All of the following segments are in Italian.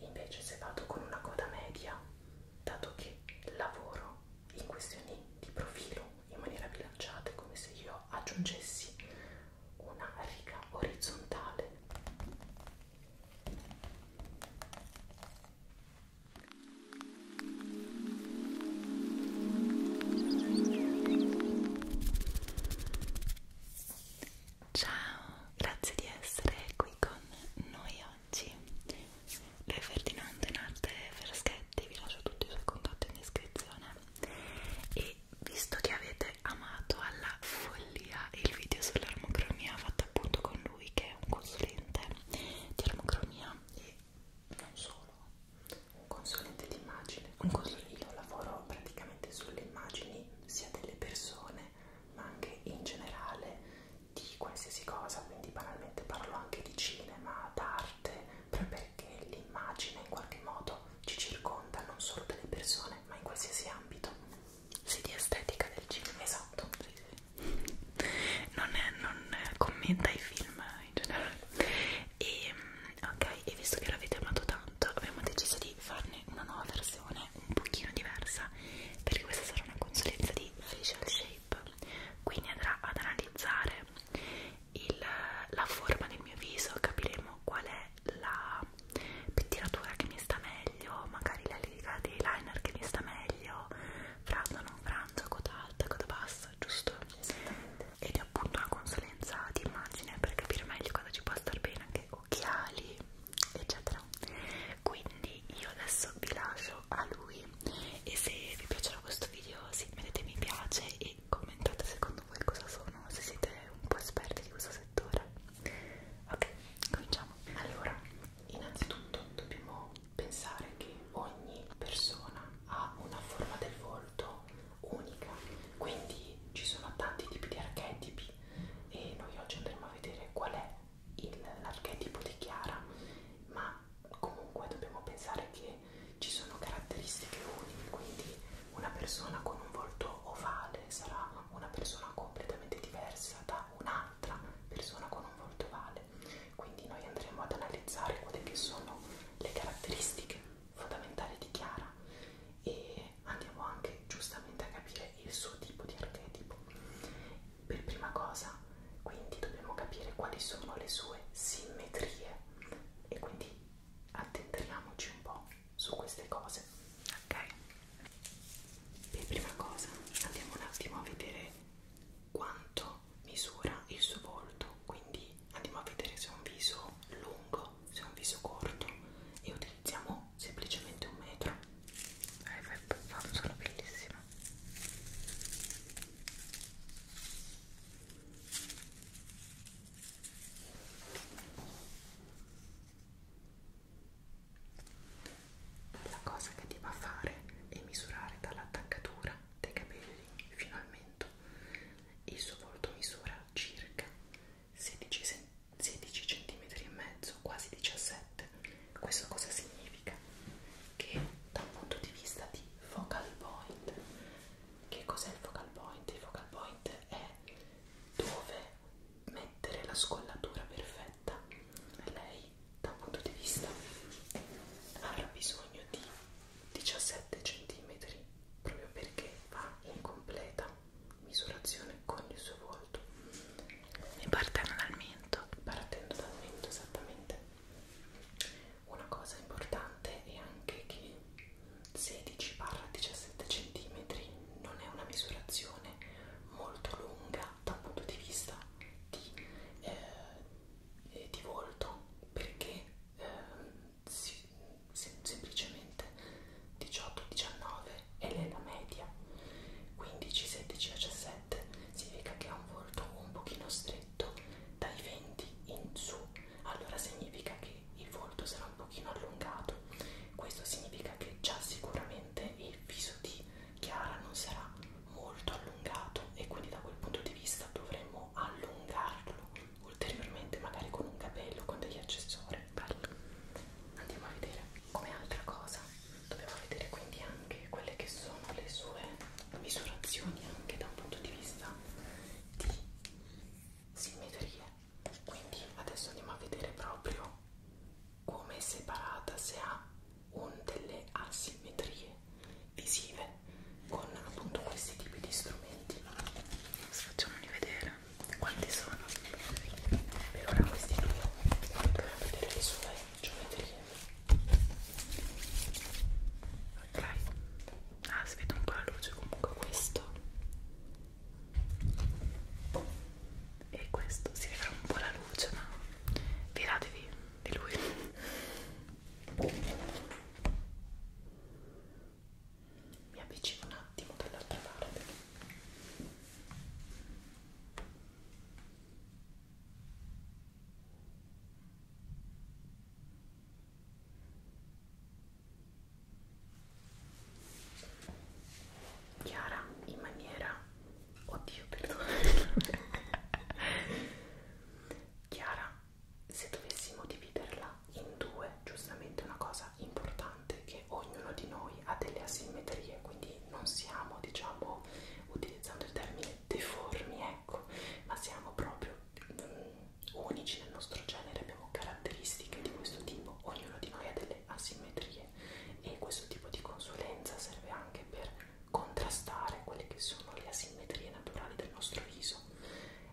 Invece se vado con una coda media, dato che lavoro in questioni di profilo in maniera bilanciata, è come se io aggiungessi una riga orizzontale. Ciao, grazie di essere qui con noi oggi. Lui è Ferdinando in arte Freschetti, vi lascio tutti i suoi contatti in descrizione. E visto che avete amato alla follia il video sull'armocromia fatto appunto con lui che è un consulente di armocromia e non solo un consulente di immagine un consulente io lavoro praticamente sulle immagini sia delle persone ma anche in generale di qualsiasi cosa quindi banalmente parlo anche di cinema d'arte proprio perché l'immagine in qualche modo ci circonda non solo delle persone ma in qualsiasi ambito sì di estetica del cinema esatto sì, sì. non, è, non commenta i film in generale e, mm, ok, e visto che l'avete amato tanto abbiamo deciso di farne una nuova versione un pochino diversa perché questa sarà una consulenza di facial shape quindi andrà ad analizzare il, la forma del mio viso capiremo qual è la pettinatura che mi sta meglio magari la linea di eyeliner che mi sta meglio franzo non franzo coda alta coda bassa giusto ed è appunto una consulenza di immagine per capire meglio cosa ci può star bene anche occhiali eccetera quindi io adesso vi lascio a lui e se vi piacerà questo video sì, mettete mi piace e commentate secondo voi cosa sono se siete un po' esperti di questo settore ok cominciamo allora innanzitutto dobbiamo pensare che ogni persona ha una forma del volto unica, quindi ci sono tanti tipi di archetipi e noi oggi andremo a vedere qual è l'archetipo di Chiara, ma comunque dobbiamo pensare che ci sono caratteristiche uniche, quindi una persona con un volto ovale sarà una persona completamente diversa da un'altra persona con un volto ovale quindi noi andremo ad analizzare quelle che sono le caratteristiche fondamentali di Chiara e andiamo anche giustamente a capire il suo tipo di archetipo. Per prima cosa, quindi dobbiamo capire quali sono le sue simmetrie e quindi addentriamoci un po' su queste cose. Ok? Per prima cosa andiamo un attimo a vedere quanto misura il suo volto quindi andiamo a vedere se è un viso lungo se è un viso corto e utilizziamo semplicemente un metro eh, fa un suono bellissimo la cosa che ti va a fare è misurare dall'attaccatura dei capelli fino al metro appartamento. Il suo volto misura circa 16 cm. 16 cm e mezzo, quasi 17. Questo cosa significa? Che da un punto di vista di focal point, che cos'è il focal point? Il focal point è dove mettere la scollatura perfetta. Lei da un punto di vista avrà bisogno di 17 cm proprio perché va in completa misurazione con il suo volto e partendo dal mento partendo dal mento esattamente una cosa importante è anche che 16 17 cm non è una misurazione molto lunga da un punto di vista di eh, eh, di volto perché eh, si, sem semplicemente 18-19 è la media 15-16-17 significa che ha un volto un pochino stretto dai 20 in su allora significa che il volto sarà un pochino allungato questo significa che già sicuramente il viso di Chiara non sarà molto allungato e quindi da quel punto di vista dovremmo allungarlo ulteriormente magari con un capello con degli accessori Bello. andiamo a vedere come altra cosa dobbiamo vedere quindi anche quelle che sono le sue misurazioni anche da un punto di vista di simmetrie quindi adesso andiamo a vedere proprio come è separata se ha un delle asimmetrie visive con appunto questi tipi di strumenti facciamoli vedere quanti sono per ora questi due andiamo a vedere le sue geometrie ok ah si vede un po' la luce comunque questo e questo si vedrà un po' la luce ma fidatevi di lui mi avvicino un attimo dall'altra parte chiara in maniera oddio perdono chiara se dovessimo dividerla in due, giustamente una cosa importante è che ognuno di noi ha delle asimmetrie, quindi non siamo, diciamo, utilizzando il termine deformi, ecco, ma siamo proprio um, unici nel nostro genere, abbiamo caratteristiche di questo tipo, ognuno di noi ha delle asimmetrie e questo tipo di consulenza serve anche per contrastare quelle che sono le asimmetrie naturali del nostro viso.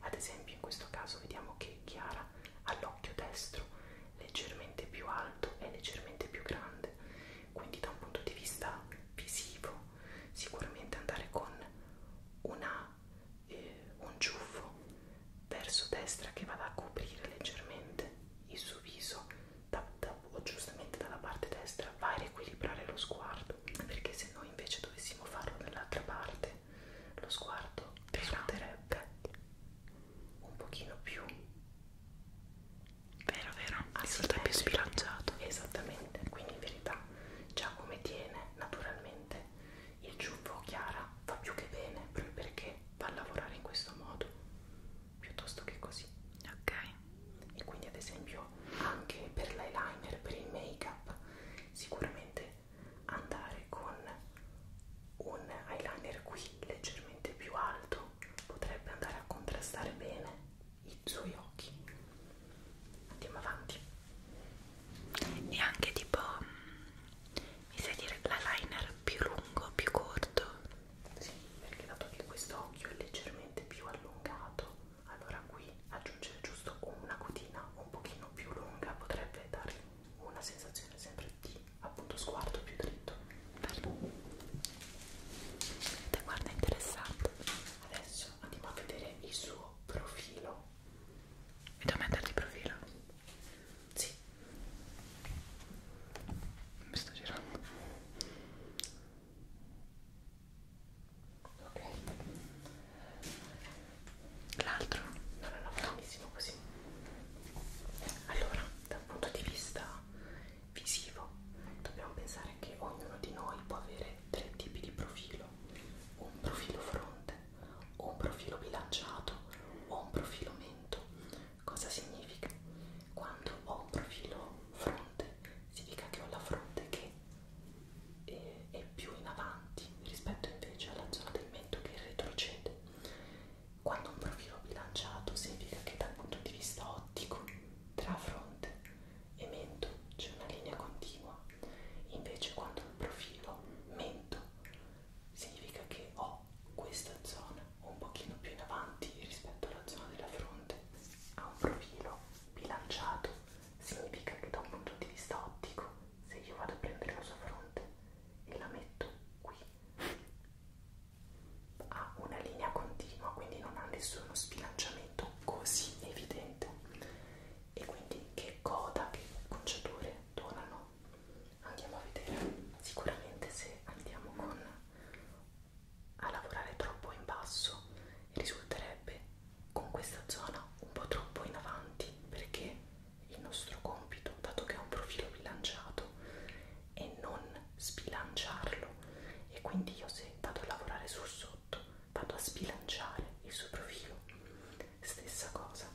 Ad esempio in questo caso vediamo che Chiara ha l'occhio destro leggermente più alto e leggermente più grande, quindi da un punto di vista visivo sicuramente andare con una, eh, un ciuffo verso destra che vada a coprire leggermente il suo viso da, da, o giustamente dalla parte destra va a riequilibrare lo sguardo perché se noi invece dovessimo farlo dall'altra parte lo sguardo risulterebbe un pochino più vero vero risulta più sbilanciato esattamente quindi in verità già come tiene naturalmente il ciuffo chiara fa più che bene proprio perché va a lavorare in questo modo piuttosto che così ok e quindi ad esempio anche per l'eyeliner, per il make up sicuramente andare con un eyeliner qui leggermente più alto potrebbe andare a contrastare bene i suoi occhi andiamo avanti e anche tipo mm, mi sai dire l'eyeliner più lungo più corto sì perché dato che questo occhio è leggermente più allungato allora qui aggiungere giusto una cotina un pochino più lunga potrebbe dare una sensazione sempre di appunto sguardo più dritto Te guarda interessante adesso andiamo a vedere il suo profilo mi devo metterti profilo? sì mi sto girando ok l'altro non è va benissimo così allora da un punto di vista visivo dobbiamo pensare che ognuno di noi può avere tre tipi di profilo un profilo fronte un profilo bilanciato o un profilo mento cosa significa quando ho un profilo fronte significa che ho la fronte che e, e più in avanti rispetto invece alla zona del mento che retrocede. Quando un profilo bilanciato significa che dal punto di vista ottico tra fronte e mento c'è una linea continua, invece quando il profilo mento significa che ho questa zona un pochino più in avanti rispetto alla zona della fronte ha un profilo bilanciato significa che da un punto di vista ottico, se io vado a prendere la sua fronte e la metto qui, ha una linea continua, quindi non ha nessuno sbilanciamento così evidente. E quindi che coda, che conciature donano? Andiamo a vedere. Sicuramente se andiamo con a lavorare troppo in basso e risulterebbe con questa zona un po' troppo in avanti perché il nostro compito, dato che ha un profilo bilanciato, è non sbilanciarlo e quindi io se vado a lavorare sul sotto vado a sbilanciare il suo profilo. Stessa cosa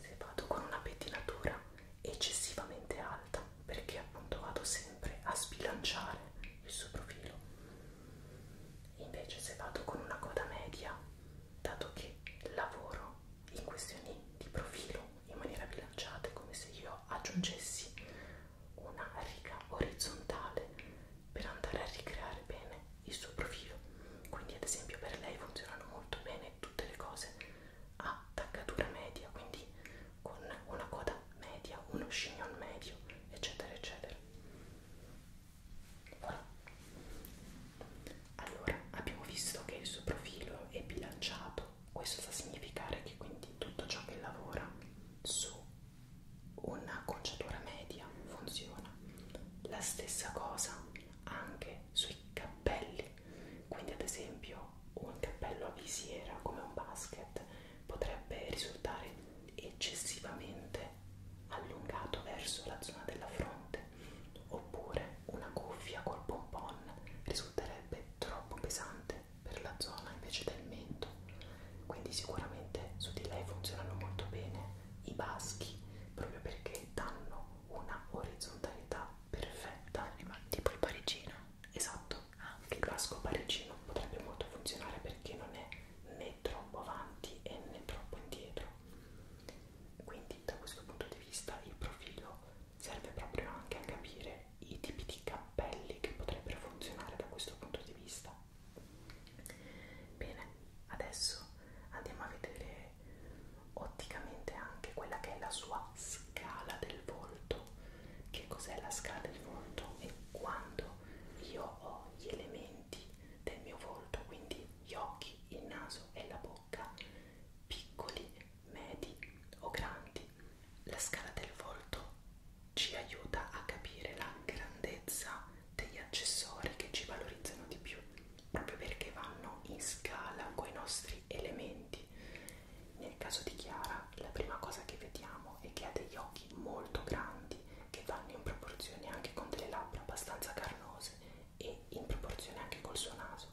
se vado con una pettinatura eccessivamente alta perché appunto vado sempre a sbilanciare il suo profilo Invece se vado con una coda media, dato che lavoro in questioni di profilo in maniera bilanciata, è come se io aggiungessi una riga orizzontale per andare a ricreare bene il suo profilo. Quindi ad esempio per lei funzionano molto bene tutte le cose a taccatura media, quindi con una coda media, uno chignon medio, eccetera, eccetera. Voilà. Allora, abbiamo visto che il suo profilo è bilanciato, questo sta a significare che quindi tutto ciò che lavora su una conciatura media funziona. La stessa cosa anche sui cappelli, quindi ad esempio un cappello a visiera come un basket potrebbe risultare eccessivamente allungato verso la zona della fronte, oppure una cuffia col pompon risulterebbe troppo pesante per la zona invece del mento. Quindi sicuramente su di lei funzionano molto bene i baschi, proprio perché danno una orizzontalità perfetta, tipo il parigino. Esatto, anche il casco parigino potrebbe molto funzionare perché non è né troppo avanti e né troppo indietro quindi da questo punto di vista il profilo serve proprio anche a capire i tipi di cappelli che potrebbero funzionare da questo punto di vista bene adesso andiamo a vedere otticamente anche quella che è la sua scala del volto che cos'è la scala del volto e quando io ho gli elementi del mio volto, quindi gli occhi, il naso e la bocca, piccoli, medi o grandi. La scala del volto ci aiuta a capire la grandezza degli accessori che ci valorizzano di più, proprio perché vanno in scala con i nostri elementi. Nel caso di Chiara, la prima cosa che vediamo è che ha degli occhi bianchi molto grandi che vanno in proporzione anche con delle labbra abbastanza carnose e in proporzione anche col suo naso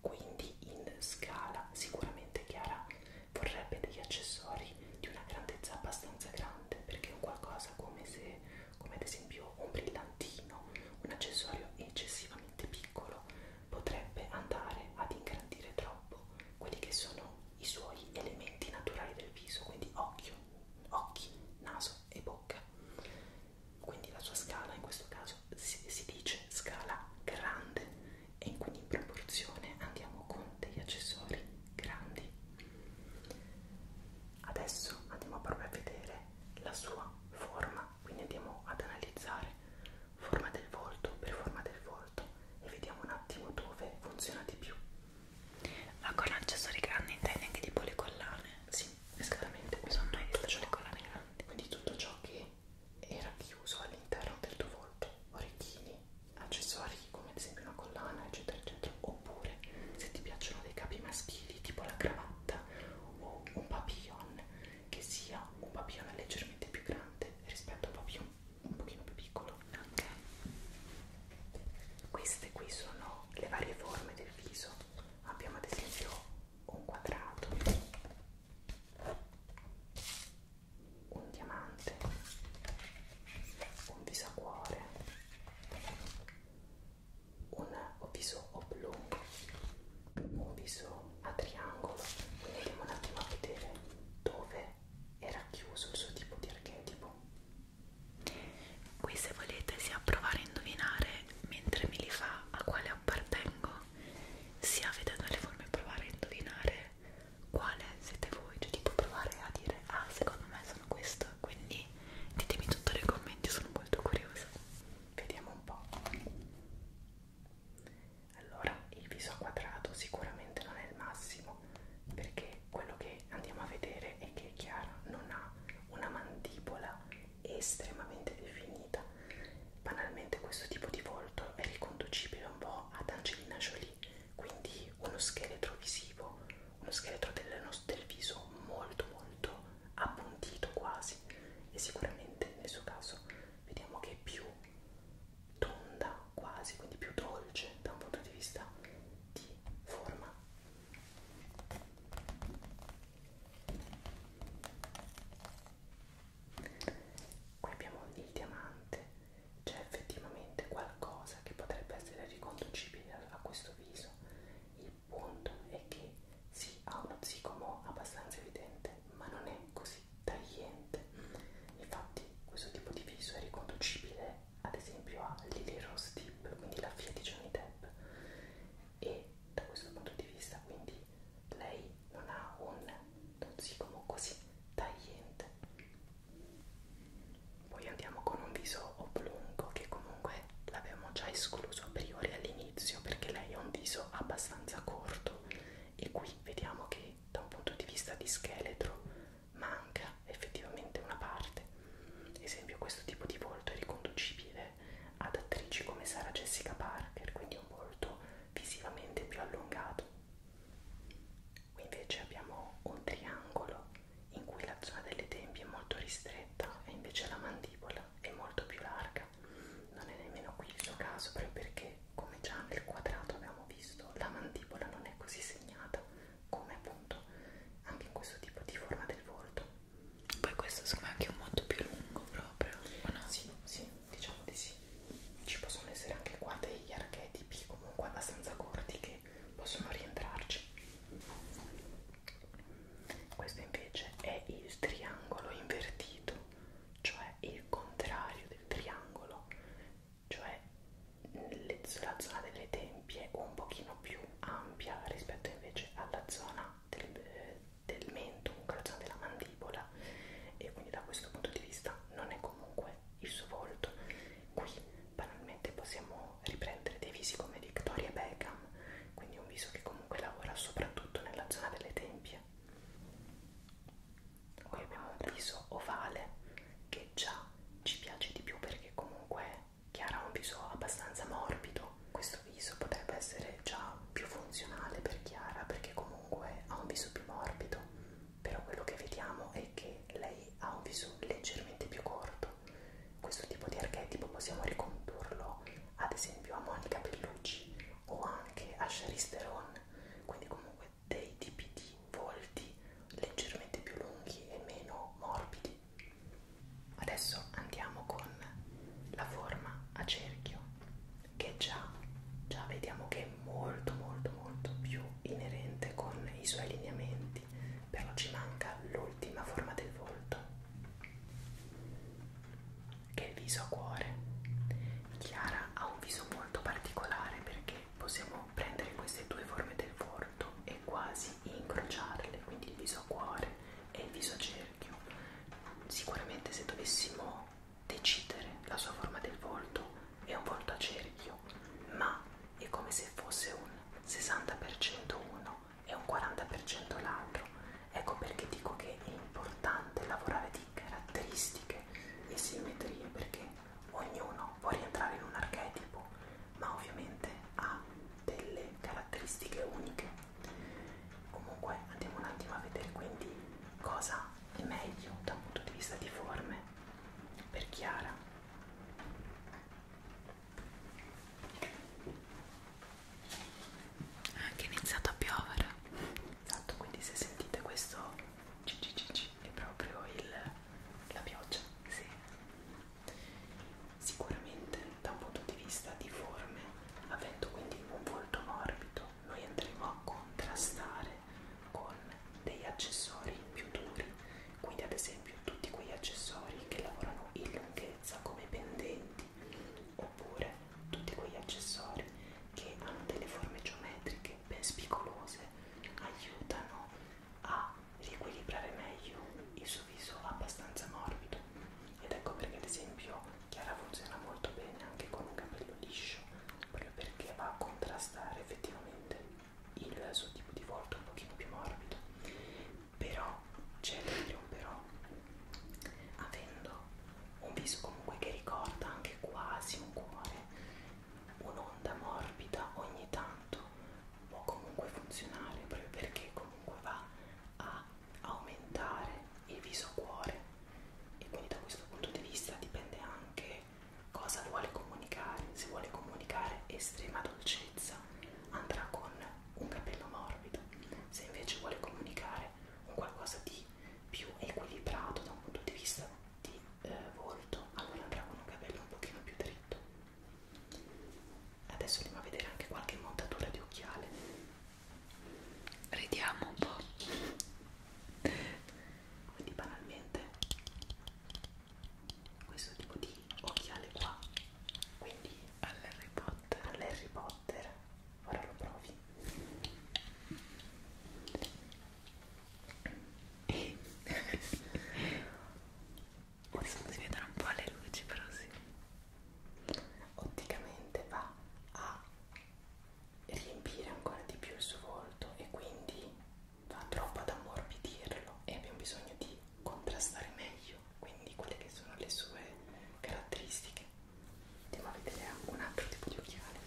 quindi in scala sicuramente Chiara vorrebbe degli accessori di una grandezza abbastanza grande perché un qualcosa come se come ad esempio un brillantino un accessorio eccessivamente piccolo potrebbe andare ad ingrandire troppo quelli che sono i suoi elementi naturali del viso, quindi occhio, occhi, naso e bocca. Quindi la sua scala in questo caso si, si dice scala grande e quindi in proporzione andiamo con degli accessori grandi. Adesso andiamo proprio a vedere la sua forma, quindi andiamo ad analizzare forma del volto per forma del volto volto e vediamo un attimo dove funziona di più. Ma con accessori grandi intendi anche tipo le collane? Sì, esattamente. Mi sono mai visto le collane grandi. Quindi tutto ciò che era chiuso all'interno del tuo volto, orecchini, accessori come ad esempio una collana, eccetera, eccetera. Oppure se ti piacciono dei capi maschili, tipo la cravatta o un papillon, che sia un papillon leggermente più grande rispetto a un papillon un pochino più piccolo anche queste qui sono le varie forme del viso abbiamo ad esempio un quadrato un diamante un viso a cuore un viso oblungo un viso a triangolo quindi andiamo un attimo a vedere dove era chiuso il suo tipo di archetipo. Qui se volete sia provare a indovinare mentre me li fa a quale appartengo, sia vedendo le forme provare a indovinare quale siete voi, cioè tipo provare a dire ah secondo me sono questo, quindi ditemi tutto nei commenti, sono molto curiosa. Vediamo un po'. Allora, il viso a quadrato sicuramente non è il massimo, perché quello che andiamo a vedere è che Chiara non ha una mandibola estremamente definita. Banalmente questo tipo di volto è riconducibile un po' ad Angelina Jolie, quindi uno scheletro visivo, uno scheletro del, del viso molto molto appuntito quasi e sicuramente nel suo caso vediamo che è più tonda quasi, quindi più dolce da un punto di vista di forma. Qui abbiamo il diamante, c'è effettivamente qualcosa che potrebbe essere riconducibile a questo viso. Il punto è che sì, ha uno zigomo abbastanza evidente, ma non è così tagliente infatti questo tipo di viso è riconducibile ad esempio a Lily Rose Deep quindi la figlia di Johnny Depp e da questo punto di vista quindi lei non ha un zigomo così tagliente poi andiamo con un viso oblungo che comunque l'abbiamo già escluso a priori all'inizio perché lei ha un viso abbastanza corto e qui vediamo che quindi da un punto di vista di scheletro manca effettivamente una parte. Ad esempio questo tipo di volto è riconducibile ad attrici come Sara Jessica Parker, quindi un volto visivamente più allungato. Qui invece abbiamo un triangolo in cui la zona delle tempie è molto ristretta e invece la mandibola è molto più larga. Non è nemmeno qui il suo caso proprio perché come già nel quadrato abbiamo visto la mandibola non è così segnata come appunto anche in questo tipo di forma del volto poi questo secondo me è anche un modo più lungo proprio o no? sì, sì, diciamo di sì ci possono essere anche qua degli archetipi comunque abbastanza corti che possono rientrarci questo invece è il triangolo invertito cioè il contrario del triangolo cioè la zona delle tempie un pochino più ampia rispetto invece alla zona del, eh, del mento, comunque la zona della mandibola e quindi da questo punto di vista non è comunque il suo volto. Qui banalmente possiamo riprendere dei visi come Victoria Beckham, quindi un viso che comunque lavora soprattutto nella zona delle tempie poi abbiamo un viso ovale che già ci piace di più perché comunque Chiara ha un viso abbastanza morbido questo viso potrebbe essere già più funzionale per Chiara perché comunque ha un viso più morbido però quello che vediamo è che lei ha un viso leggermente più corto questo tipo di archetipo possiamo ricondurlo ad esempio a Monica Bellucci o anche a Charisse Theron quindi comunque dei tipi di volti leggermente più lunghi e meno morbidi. Adesso andiamo con la forma a cerchio che già, già vediamo che è molto molto molto più inerente con i suoi lineamenti, però ci manca l'ultima forma del volto che è il viso a cuore. Chiara ha un viso molto particolare perché possiamo prendere queste due forme del volto e quasi incrociarle, quindi il viso a cuore e il viso a cerchio. Sicuramente se dovessimo decidere la sua forma del volto è un volto a cerchio, ma è come se fosse un 60% uno e un 40% l'altro. Ecco perché dico che è importante lavorare di caratteristiche e simmetrie perché ognuno può rientrare in un archetipo, ma ovviamente ha delle caratteristiche uniche. Comunque andiamo un attimo a vedere quindi cosa è meglio da un punto di vista di forme per Chiara. Ha anche iniziato a piovere. Esatto, quindi se sentite questo cccc è proprio il, la pioggia, sì. Sicuramente da un punto di vista di forme, avendo quindi un volto morbido, noi andremo a contrastare con degli accessori più duri, quindi ad esempio tutti quegli accessori che lavorano in lunghezza come pendenti, oppure tutti quegli accessori che hanno delle forme geometriche anche ben spigolose aiutano a riequilibrare meglio il suo viso abbastanza morbido ed ecco perché ad esempio Chiara funziona molto bene anche con un capello liscio proprio perché va a contrastare effettivamente il suo tipo di volto un pochino più morbido però c'è il però avendo un viso comunque che ricorda anche quasi un cuore un'onda morbida ogni tanto può comunque funzionare proprio perché comunque va a aumentare il viso cuore e quindi da questo punto di vista dipende anche cosa vuole comunicare se vuole comunicare estrema dolcezza andrà con un capello morbido se invece vuole comunicare un qualcosa di più equilibrato da un punto di vista di eh, volto allora avranno un capello un pochino più dritto adesso andiamo a vedere anche qualche montatura di occhiale ridiamo un po' quindi banalmente questo tipo di occhiale qua quindi all'Harry Potter all'Harry Potter ora lo provi e adesso non si vedono un po' le luci però sì otticamente va a riempire ancora di più il suo volto e quindi va troppo ad ammorbidirlo e abbiamo bisogno di contrastare meglio quindi quelle che sono le sue caratteristiche andiamo a vedere un altro tipo di occhiali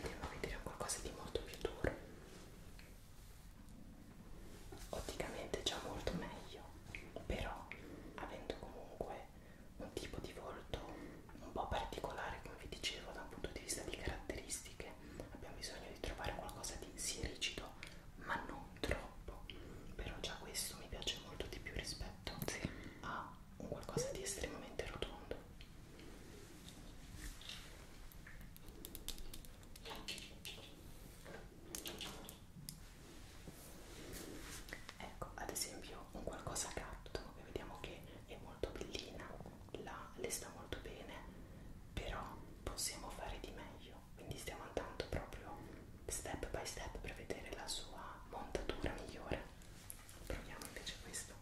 andiamo a vedere qualcosa di molto più duro otticamente già molto meglio però avendo comunque un tipo di volto un po' particolare come vi dicevo da un punto di vista di caratteristiche abbiamo bisogno di trovare qualcosa di sì rigido ma non troppo però già questo mi piace molto di più rispetto sì. a un qualcosa di estremamente rotondo ecco ad esempio un qualcosa gatto che vediamo che è molto bellina la, le sta molto bene però possiamo fare di meglio quindi stiamo andando proprio step by step per vedere la sua montatura migliore proviamo invece questo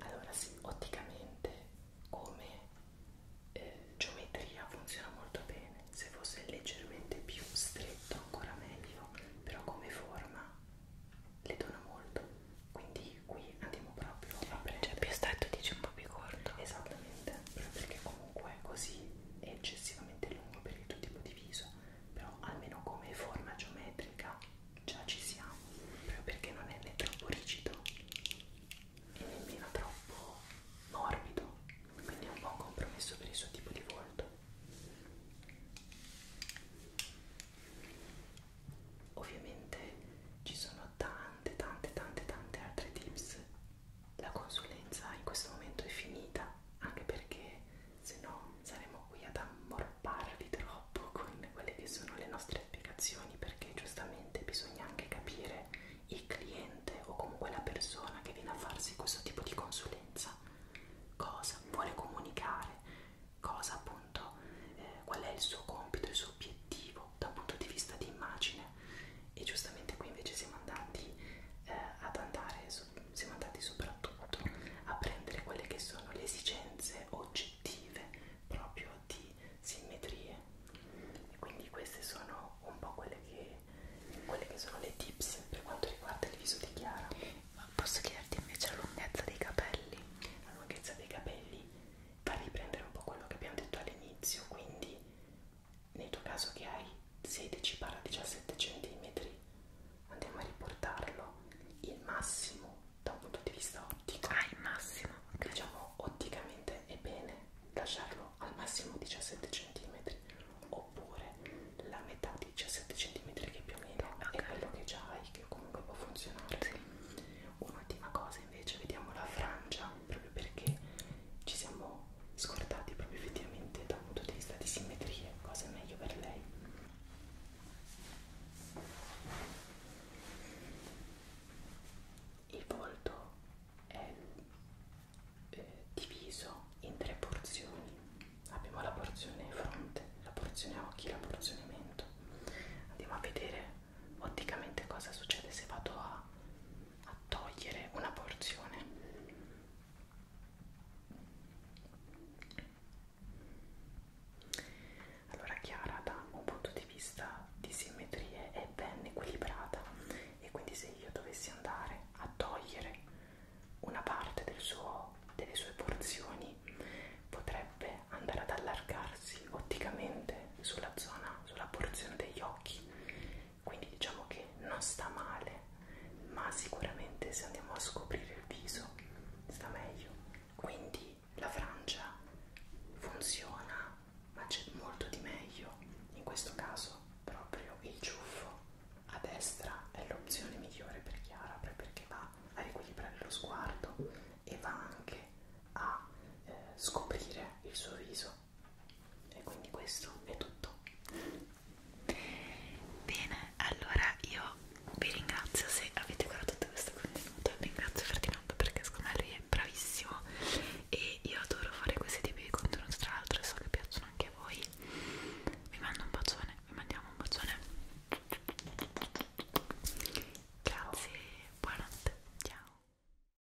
allora sì, otticamente come eh, geometria funziona molto bene, se fosse leggermente più stretto ancora meglio, però come forma le dona molto, quindi qui andiamo proprio a prendere. Cioè più stretto dice un po' più corto. Esattamente, perché comunque così è eccessivamente lungo per il tuo tipo di viso, però almeno come forma geometrica già ci siamo, proprio perché non è né troppo rigido e nemmeno troppo morbido, quindi è un buon compromesso per il suo tipo di volto. Ovviamente ci sono tante tante tante tante altre tips la consulenza in questo momento è finita, anche perché se no saremo qui ad ammorparvi troppo con quelle che sono le nostre spiegazioni, perché giustamente bisogna anche capire il cliente o comunque la persona che viene a farsi questo tipo di consulenza, cosa vuole comunicare, cosa appunto, eh, qual è il suo compito, il suo obiettivo, da un punto di vista di immagine e giustamente qui invece siamo andati eh, ad andare su, siamo andati soprattutto a prendere quelle che sono le esigenze oggettive proprio di simmetrie e quindi queste sono un po' quelle che, quelle che sono le tips per quanto riguarda il viso di Chiara Ma posso chiederti invece la lunghezza dei capelli? la lunghezza dei capelli va a riprendere un po' quello che abbiamo detto all'inizio quindi nel tuo caso che hai 16-17 cm, andiamo a riportarlo il massimo da un punto di vista ottico. Ah, il massimo. Okay. Diciamo otticamente è bene lasciarlo al massimo 17 cm oppure la metà di 17 cm che più o meno okay. è quello che già hai, che comunque può funzionare. Sì. Un'ultima cosa invece, vediamo la frangia, proprio perché ci siamo scordati proprio effettivamente da un punto di vista di simmetrie, cosa è meglio per lei. Il volto è eh, diviso in tre porzioni. Abbiamo la porzione fronte, la porzione occhi, la porzione mento. Andiamo a vedere otticamente cosa succede se vado a a togliere una porzione allora Chiara da un punto di vista di simmetrie è ben equilibrata e quindi se io dovessi andare a togliere una parte del suo, delle sue porzioni potrebbe andare ad allargarsi otticamente sulla zona, sulla porzione degli occhi quindi diciamo che non sta male ma sicuramente se andiamo a scoprire il viso sta meglio quindi la Francia funziona ma c'è molto di meglio in questo caso proprio il ciuffo a destra è l'opzione migliore per Chiara perché va a riequilibrare lo sguardo e va anche a eh, scoprire il suo viso e quindi questo è tutto bene allora io vi ringrazio se avete guardato questo contenuto ringrazio Ferdinando perché secondo me lui è bravissimo e io adoro fare questi tipi di contenuti tra l'altro so che piacciono anche a voi vi mando un bacione vi mandiamo un bacione grazie buonanotte ciao